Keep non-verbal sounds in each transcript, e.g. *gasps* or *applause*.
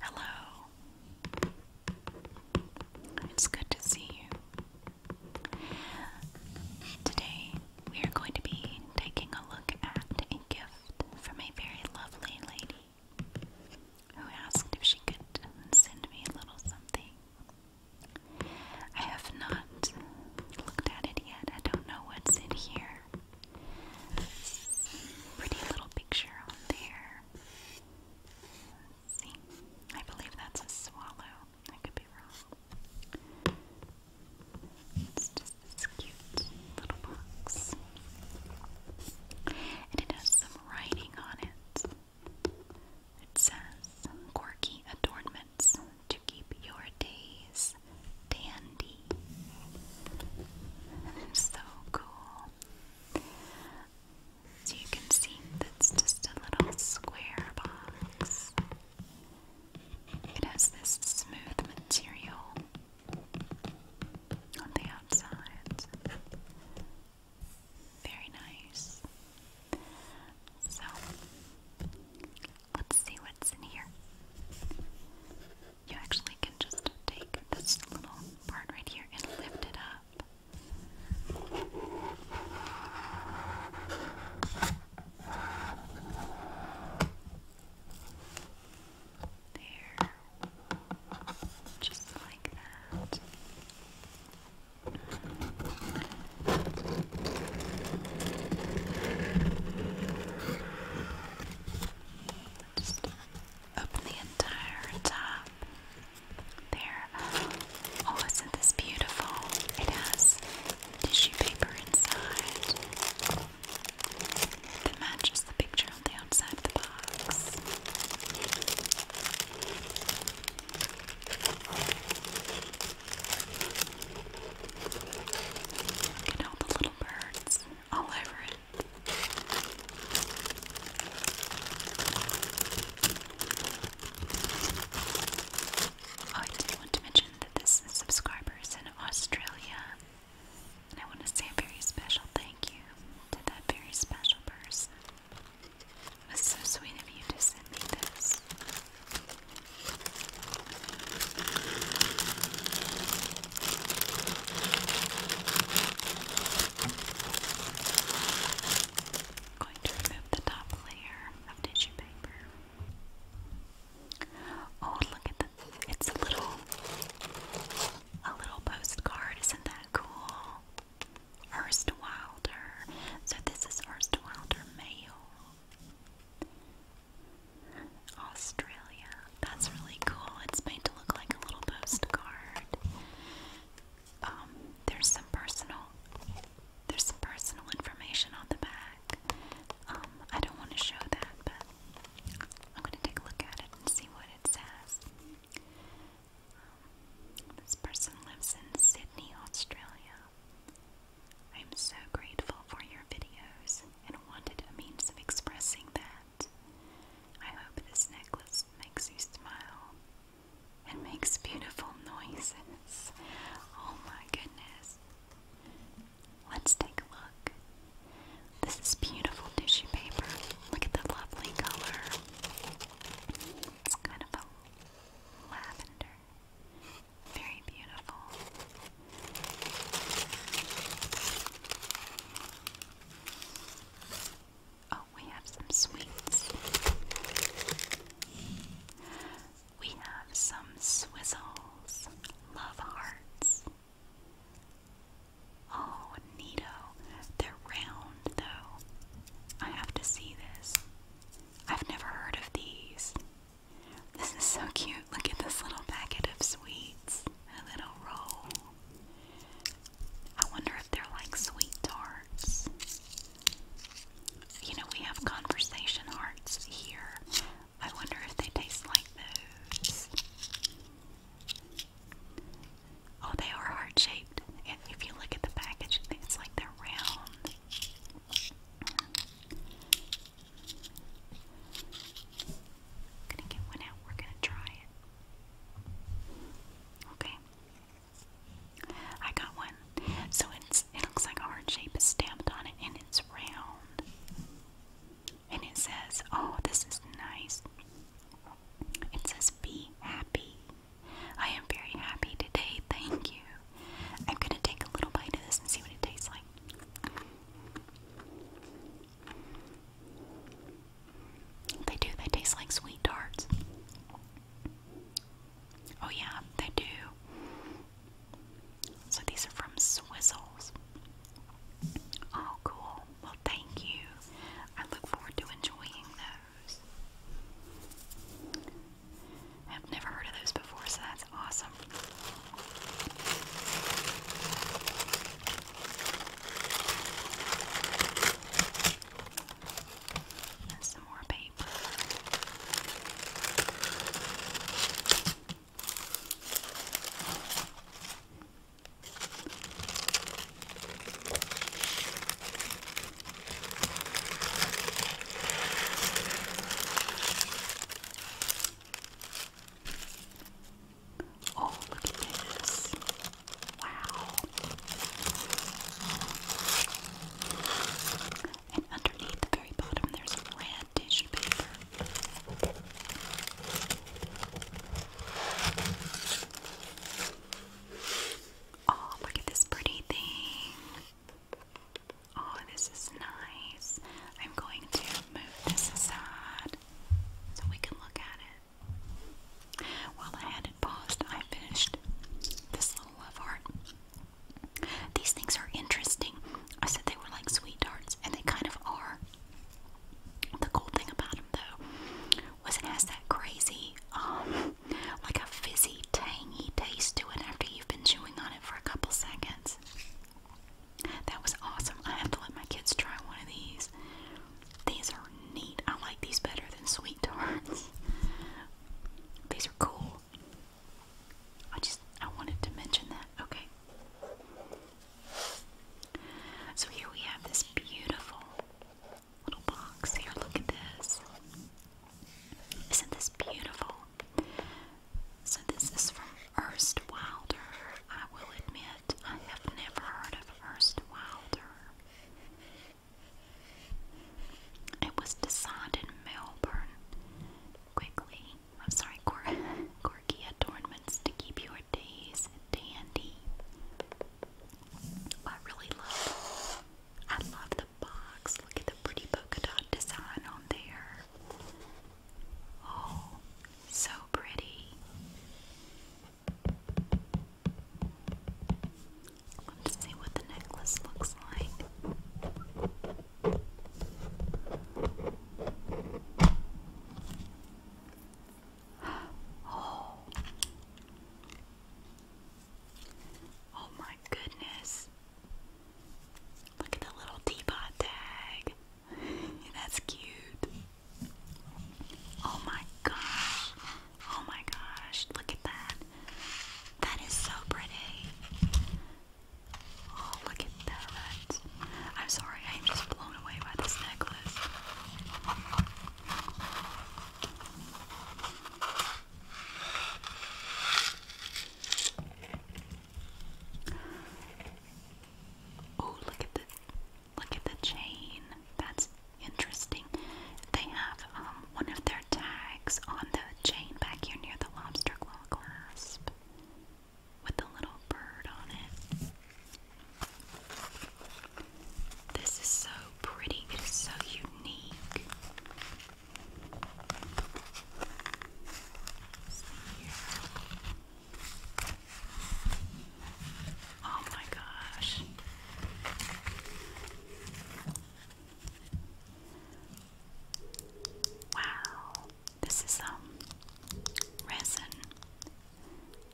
Hello. It's good to see you. Today we are going to be taking a look at a gift from a very lovely lady who asked if she could send me a little something. I have not looked at it yet. I don't know what's in here. Pretty little picture on there. see, I believe that's a swallow. I could be wrong. It's just this cute little box. And it has some writing on it. It says, Quirky Adornment to keep your days dandy. so cool. So you can see that's just a little square box. It has this smooth material on the outside. Very nice. So Let's see what's in here. You actually can just take this little part right here and lift it up. There. Just like that. Just open the entire top. There. Oh, isn't this beautiful? It has tissue paper inside that matches the picture on the outside of the box. Look at all the little birds all over it. Oh, I did want to mention that this is in Australia, and I want to say a very special thank you to that very special person. It was so sweet of you to send me this. I'm going to remove the top layer of tissue paper. Oh, look at the it's a little a little postcard, isn't that cool? Ernst Wilder. So this is Ernst Wilder mail. Australia. That's really cool. It's made to look like a little postcard. Um, there's some personal there's some personal information on the back. Um, I don't want to show that, but I'm gonna take a look at it and see what it says. Um, this person lives in Sydney, Australia. I am so grateful for your videos and wanted a means of expressing that. I hope this necklace makes you smile and makes beautiful noises. Oh my goodness. Let's take a look. This is beautiful tissue paper. Look at the lovely color. It's kind of lavender very beautiful. Oh, we have some sweets. We have some swizzles, love hearts. Oh, neato. They're round, though. I have to see this. I've never heard of these. This is so cute. Look at this little packet of sweets. A little roll. I wonder if they're like sweet tarts. You know, we have conversation hearts here. I wonder if they taste like those. Oh, they are heart shaped. And if you look at the package, it's like they're round gonna get one out. We're gonna try it. Okay. I got one. So it's it looks like a heart shape is stamped on it and it's round. And it says, oh, this is nice. It says, be happy. I am very happy today, thank you. I'm gonna take a little bite of this and see what it tastes like. They do, they taste like sweet tarts. Oh, yeah, they do. So these are from Swizzles. Oh, cool. Well, thank you. I look forward to enjoying those. I've never heard of those before, so that's awesome awesome. And some more paper. Oh, look at this. Wow. And underneath the very bottom, there's a red paper. Oh, look at this pretty thing. Oh, this is nice. I'm going to move this aside so we can look at it. While I had it paused, I finished this little love art. These things are interesting. I said they were like sweet darts, and they kind of are. The cool thing about them, though, was it has that crazy, um, like a fizzy, tangy taste to it after you've been chewing on it for a couple seconds. That was awesome. I have to let my kids try one of these. These are neat. I like these better than sweet tarts. *laughs* these are cool. I just I wanted to mention that. Okay. So here we have this beautiful little box. Here, look at this. Isn't this beautiful? So this is from Ernst Wilder. I will admit I have never heard of Ernst Wilder. It was designed in Melbourne. Quickly, I'm sorry, quirky *laughs* adornments to keep your days dandy. I really love. I love the box. Look at the pretty polka dot design on there. Oh, so pretty. Let's see what the necklace looks like. Oh. Oh my goodness. Look at the little teapot tag. *laughs* That's cute. Oh my gosh. Oh my gosh. Look at that. That is so pretty. Oh, look at that. I'm sorry, I'm just blown away by this necklace. Oh, look at the look at the chain. That's interesting. They have um, one of their tags on the chain back here near the lobster claw clasp with a little bird on it. This is so pretty. It is so unique. Oh my gosh. Wow. This is um resin.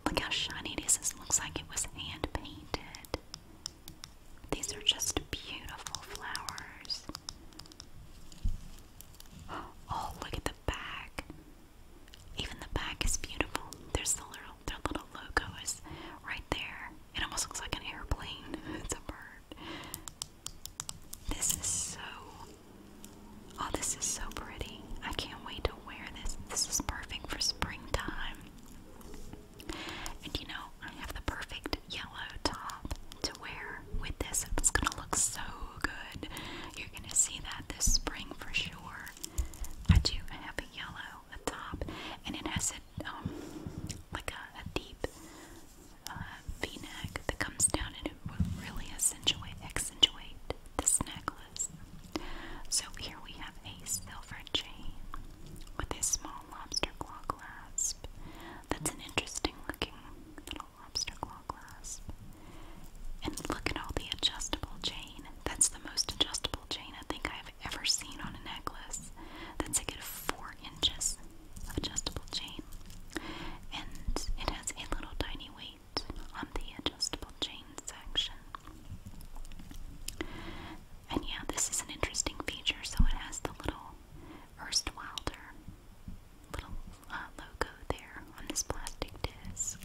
Look how shiny it is. This looks like it was hand painted. These are just beautiful flowers. *gasps* Oh, look at the back. Even the back is beautiful. There's the little, their little logo is right there. It almost looks like an airplane. *laughs* It's a bird. This is so. Oh, this is so pretty. I can't wait to wear this. This is perfect for springtime. And you know, I have the perfect yellow top to wear with this. It's gonna look so good. You're gonna see that this spring for sure. I do have a yellow top, and it has a um, like a, deep uh, V-neck that comes down, and it really accentuate accentuate this necklace. So here we have a silver chain with a small lobster claw clasp. That's an interesting looking little lobster claw And look at all the adjustable chain. That's the most adjustable chain I think I've ever seen on a necklace. That's a good four inches of adjustable chain. And it has a little tiny weight on the adjustable chain section. And yeah, this is an interesting feature. So it has the little Erst Wilder little uh, logo there on this plastic disc.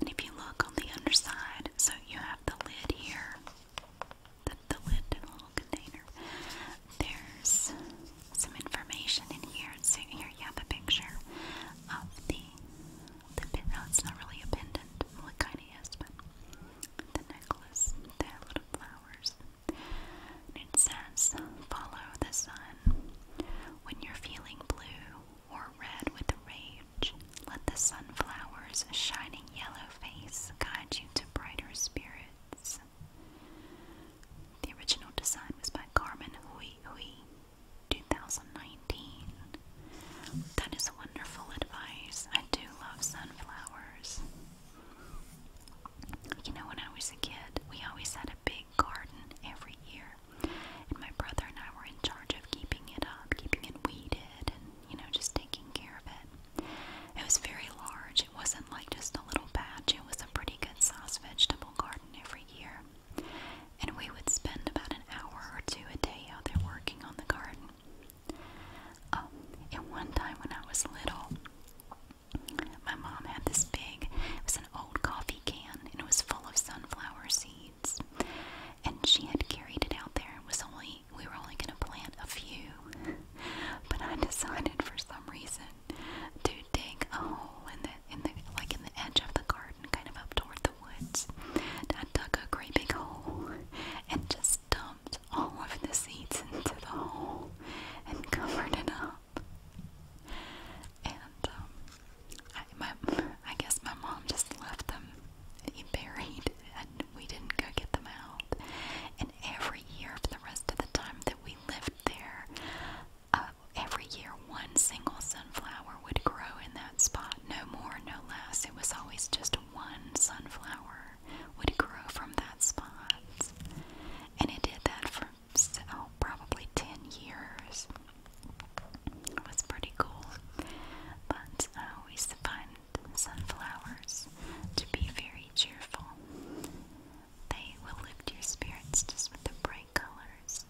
And if you look on the underside, so you have the lid here, the, the lid in little container. There's some information in here. So here you have a picture of the the pin. No, it's not really a pendant. Well, kind of is, but the necklace, the little flowers, and it says, Follow the sun. When you're feeling blue or red with rage, let the sunflower's shining yellow face guide you to brighter spirits. The original design was by Carmen Hui Hui, 2019. That is wonderful advice. I do love sunflowers. You know, when I was a kid, we always had a big garden every year, and my brother and I were in charge of keeping it up, keeping it weeded, and you know, just taking care of it. It was very large, it wasn't like just a little patch, it was a pretty good sized vegetable garden every year. And we would spend about an hour or two a day out there working on the garden. Oh, and one time when I was little, my mom had this big, it was an old coffee can, and it was full of sunflower seeds. And she had carried it out there. It was only we were only going to plant a few, but I decided for some reason to dig a hole in the in the like in the edge of the garden, kind of up toward the woods. I dug a great big hole and just dump all of the seeds into the hole and covered it up. And um, I, my, I guess my mom just left them buried, and we didn't go get them out. And every year, for the rest of the time that we lived there, uh, every year one single sunflower would grow in that spot. No more, no less. It was always just one sunflower would grow from that spot. And it did that for oh, probably 10 years. It was pretty cool. But I uh, always find sunflowers to be very cheerful. They will lift your spirits just with the bright colors.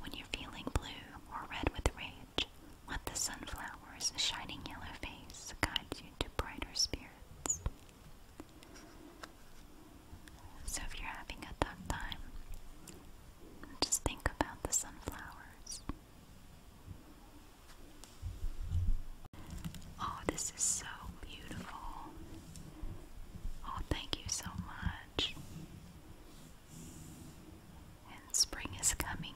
When you're feeling blue or red with rage, let the sunflower's shining yellow face guide you to brighter spirits. So if you're having a tough time, just think about the sunflowers. Oh, this is so beautiful. Oh, thank you so much. And spring is coming.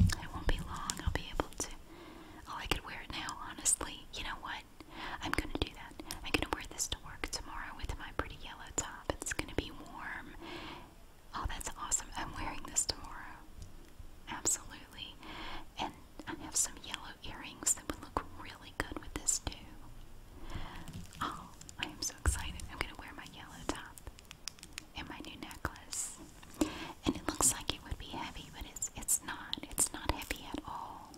It won't be long. I'll be able to. Oh, I could wear it now, honestly. You know what? I'm gonna do that. I'm gonna wear this to work tomorrow with my pretty yellow top. It's gonna be warm. Oh, that's awesome. I'm wearing this tomorrow. Absolutely. And I have some yellow earrings that would look really good with this, too. Oh, I am so excited. I'm gonna wear my yellow top and my new necklace. And it looks like it would be heavy, but it's it's not. It's not heavy at all.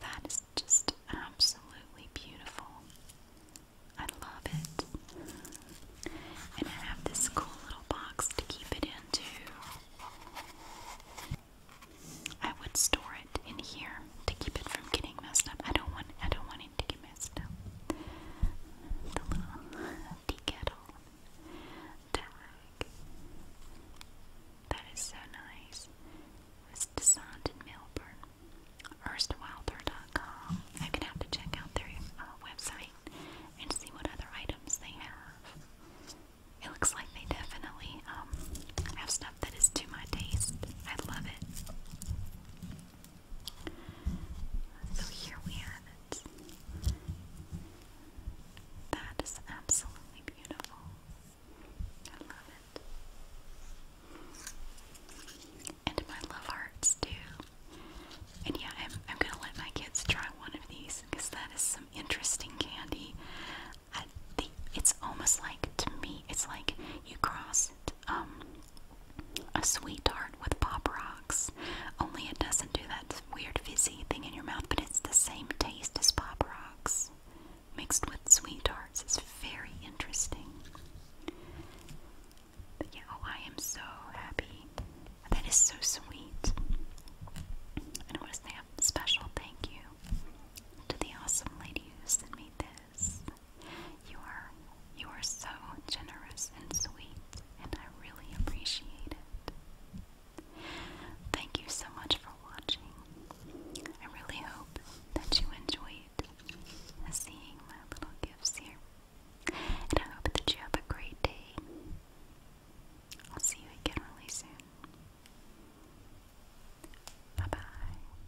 That is just absolutely beautiful. I love it. And I have this cool little box to keep it in too. I would store it in here to keep it from getting messed up. I don't want I don't want it to get messed up. The little tea kettle That is so nice. was designed in Melbourne. Erstwhilder.com. I'm gonna have to check out their uh, website and see what other items they have. It looks like they definitely um, have stuff that is to my taste. I love it. So here we have it. That is absolutely beautiful. I love it. And my love hearts too. And yeah, I'm, I'm gonna let my kids try one of these because that is some interesting candy. it's almost like to me, it's like you cross um a sweet tart with pop rocks. Only it doesn't do that weird fizzy thing in your mouth, but it's the same taste as pop rocks mixed with sweet tarts. is very interesting. yeah, oh, I am so happy. That is so sweet. I want to say special thank you to the awesome lady who sent me this. You are you are so generous and sweet, and I really appreciate it. Thank you so much for watching. I really hope that you enjoyed seeing my little gifts here. And I hope that you have a great day. I'll see you again really soon. Bye bye.